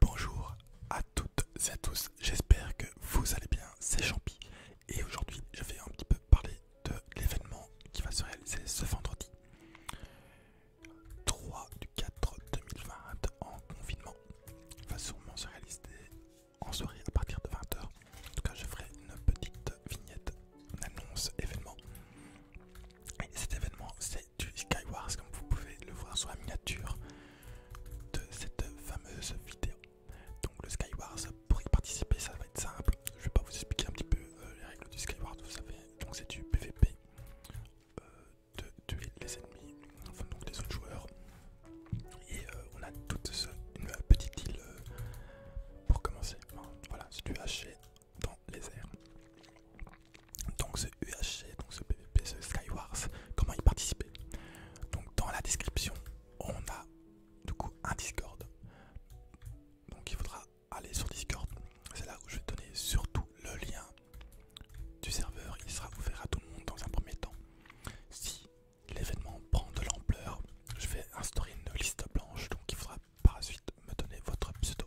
Bonjour à toutes et à tous, j'espère que vous allez bien, c'est Champi et aujourd'hui je vais un petit peu parler de l'événement qui va se réaliser ce vendredi 3 du 4 2020 en confinement. va sûrement se réaliser en soirée à partir de 20h. En tout cas je ferai une petite vignette, une annonce événement. Et cet événement c'est du Skywars comme vous pouvez le voir sur la miniature de cette fameuse vidéo. Donc le Skywars, pour y participer, ça va être simple. Je vais pas vous expliquer un petit peu euh, les règles du Skywars, vous savez. Donc c'est du PVP, euh, de tuer les ennemis, enfin donc des autres joueurs. Et euh, on a toute une petite île pour commencer. voilà, c'est du haché dans les airs. Donc ce UHC, donc ce PVP, ce Skywars, comment y participer Donc dans la description, on a du coup un Discord. Donc il faudra aller sur Discord. C'est là où je vais donner surtout le lien du serveur. Il sera ouvert à tout le monde dans un premier temps. Si l'événement prend de l'ampleur, je vais instaurer une liste blanche. Donc il faudra par la suite me donner votre pseudo.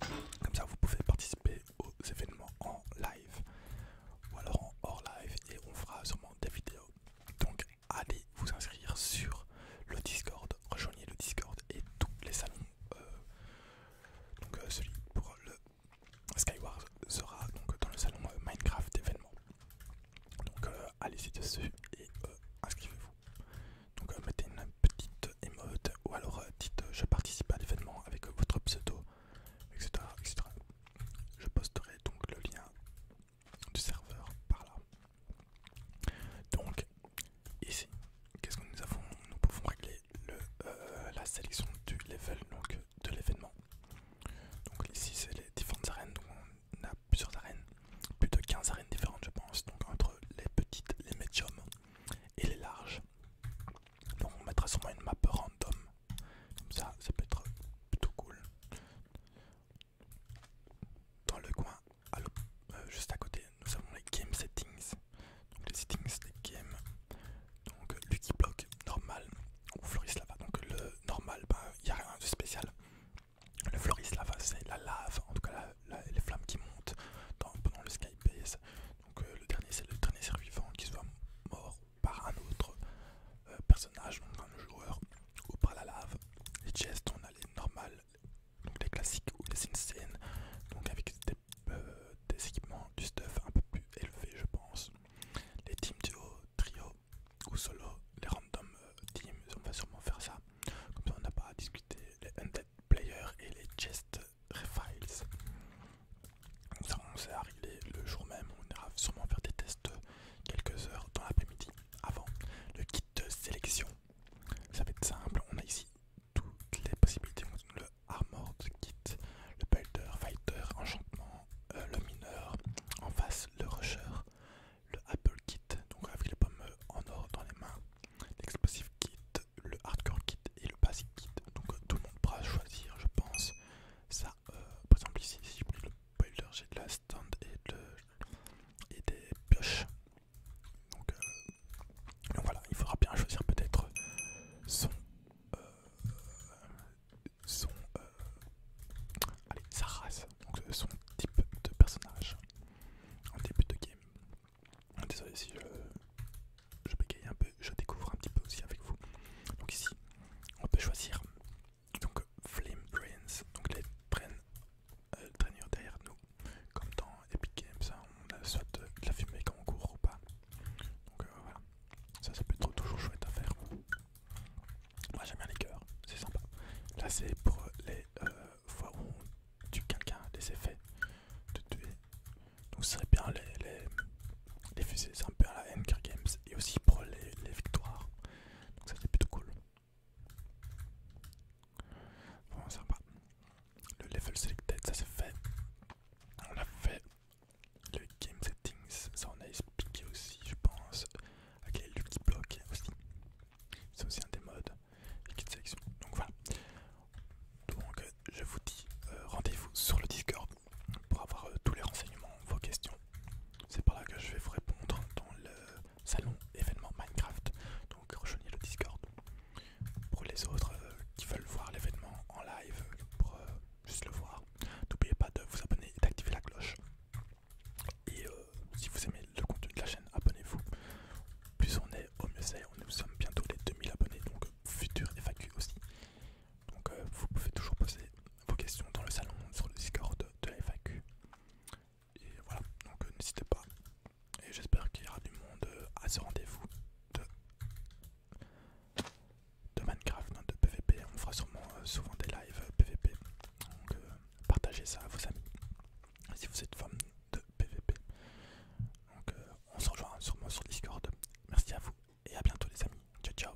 Comme ça, vous pouvez participer aux événements en live ou alors en hors live et on fera sûrement des vidéos. Donc, allez vous inscrire sur le Discord, rejoignez le Discord et tous les salons. Euh, donc, euh, celui pour le Skyward sera donc dans le salon euh, Minecraft événement. Donc euh, allez-y dessus et euh, inscrivez-vous. Donc euh, mettez une petite émote ou alors dites je participe à l'événement avec votre pseudo, etc., etc. Je posterai donc le lien du serveur par là. Donc ici, qu'est-ce que nous avons Nous pouvons régler la sélection du level donc de l'événement. Donc ici c'est les différentes arènes, a plusieurs arènes, plus de 15 arènes différentes je pense, donc entre les petites, les médiums et les larges. Donc on mettra sûrement une map random, comme ça ça peut être plutôt cool. Dans le coin, euh, juste à côté, nous avons les game settings, donc les settings des games donc Lucky Block normal ou Floris Lava. Donc le normal, il ben, n'y a rien de spécial. Le Floris Lava, c'est la lave, en tout cas les flammes qui montent pendant le Base. Donc euh, le dernier, c'est le dernier survivant qui soit mort par un autre euh, personnage, donc un joueur, ou par la lave. Les chests, on a les normales, donc les classiques ou les insane, donc avec des euh, équipements, du stuff un peu plus élevé, je pense les teams duo, trio ou solo, les random euh, teams, on va sûrement faire ça. Comme ça on n'a pas à discuter les undead players et les chest refiles. Ça on s'est arrivé le jour même, on ira sûrement faire des tests quelques heures dans l'après-midi avant le kit de sélection. Ça va être simple, on a ici toutes les possibilités le Armored Kit, le Builder, Fighter, Enchantement, euh, le Mineur, en face le Rusher, le Apple Kit, donc avec les pommes en or dans les mains, l'Explosive Kit, le Hardcore Kit et le Basic Kit. Donc euh, tout le monde pourra choisir, je pense. Ça, euh, par exemple, ici, si le Builder, j'ai de la stand et, et des pioches. Donc, euh, voilà, il faudra bien choisir peut-être son... Euh, son... Euh, sa race, donc son type de personnage en début de game. Désolé si je, bégaye un peu, je découvre un petit peu aussi avec vous. Donc ici, on peut choisir donc Flame Brains, donc les traînes le euh, derrière nous, comme dans Epic Games, hein, on a soit de la fumée quand on court ou pas. Donc euh, voilà, ça ça peut être toujours chouette à faire. Moi j'aime bien les cœurs, c'est sympa. Là c'est pour les euh, fois où on tue quelqu'un, les effets de tuer. Donc ça serait bien les, les, fusées, c'est un peu la Games et aussi pour les, les victoires. Donc ça c'est plutôt cool. Bon, sympa. Le level selected, ça se fait. On l'a fait. Le game settings, ça on a expliqué aussi, je pense. Avec le lucky Block aussi. C'est aussi un des modes. sélection. Donc voilà. Donc je vous dis euh, rendez-vous sur le Discord pour avoir euh, tous les renseignements, vos questions. C'est par là que je vais vous répondre dans le salon événement Minecraft. Donc rejoignez le Discord. Pour les autres euh, qui veulent voir l'événement en live, pour euh, juste le voir, n'oubliez pas de vous abonner et d'activer la cloche. Et euh, si vous aimez le contenu de la chaîne, abonnez-vous. Plus on est, au mieux c'est. Nous sommes bientôt les 2000 abonnés, donc futur FAQ aussi. Donc vous pouvez toujours poser vos questions dans le salon, sur le Discord de la FAQ. Et voilà, donc euh, n'hésitez pas. Et j'espère qu'il y aura du monde euh, à ce rendez-vous de, Minecraft, hein, de PVP. On fera sûrement euh, souvent des lives PVP. Donc partagez ça à vos amis si vous êtes fan de PVP. Donc on se rejoint sûrement sur Discord. Merci à vous et à bientôt les amis. Ciao ciao.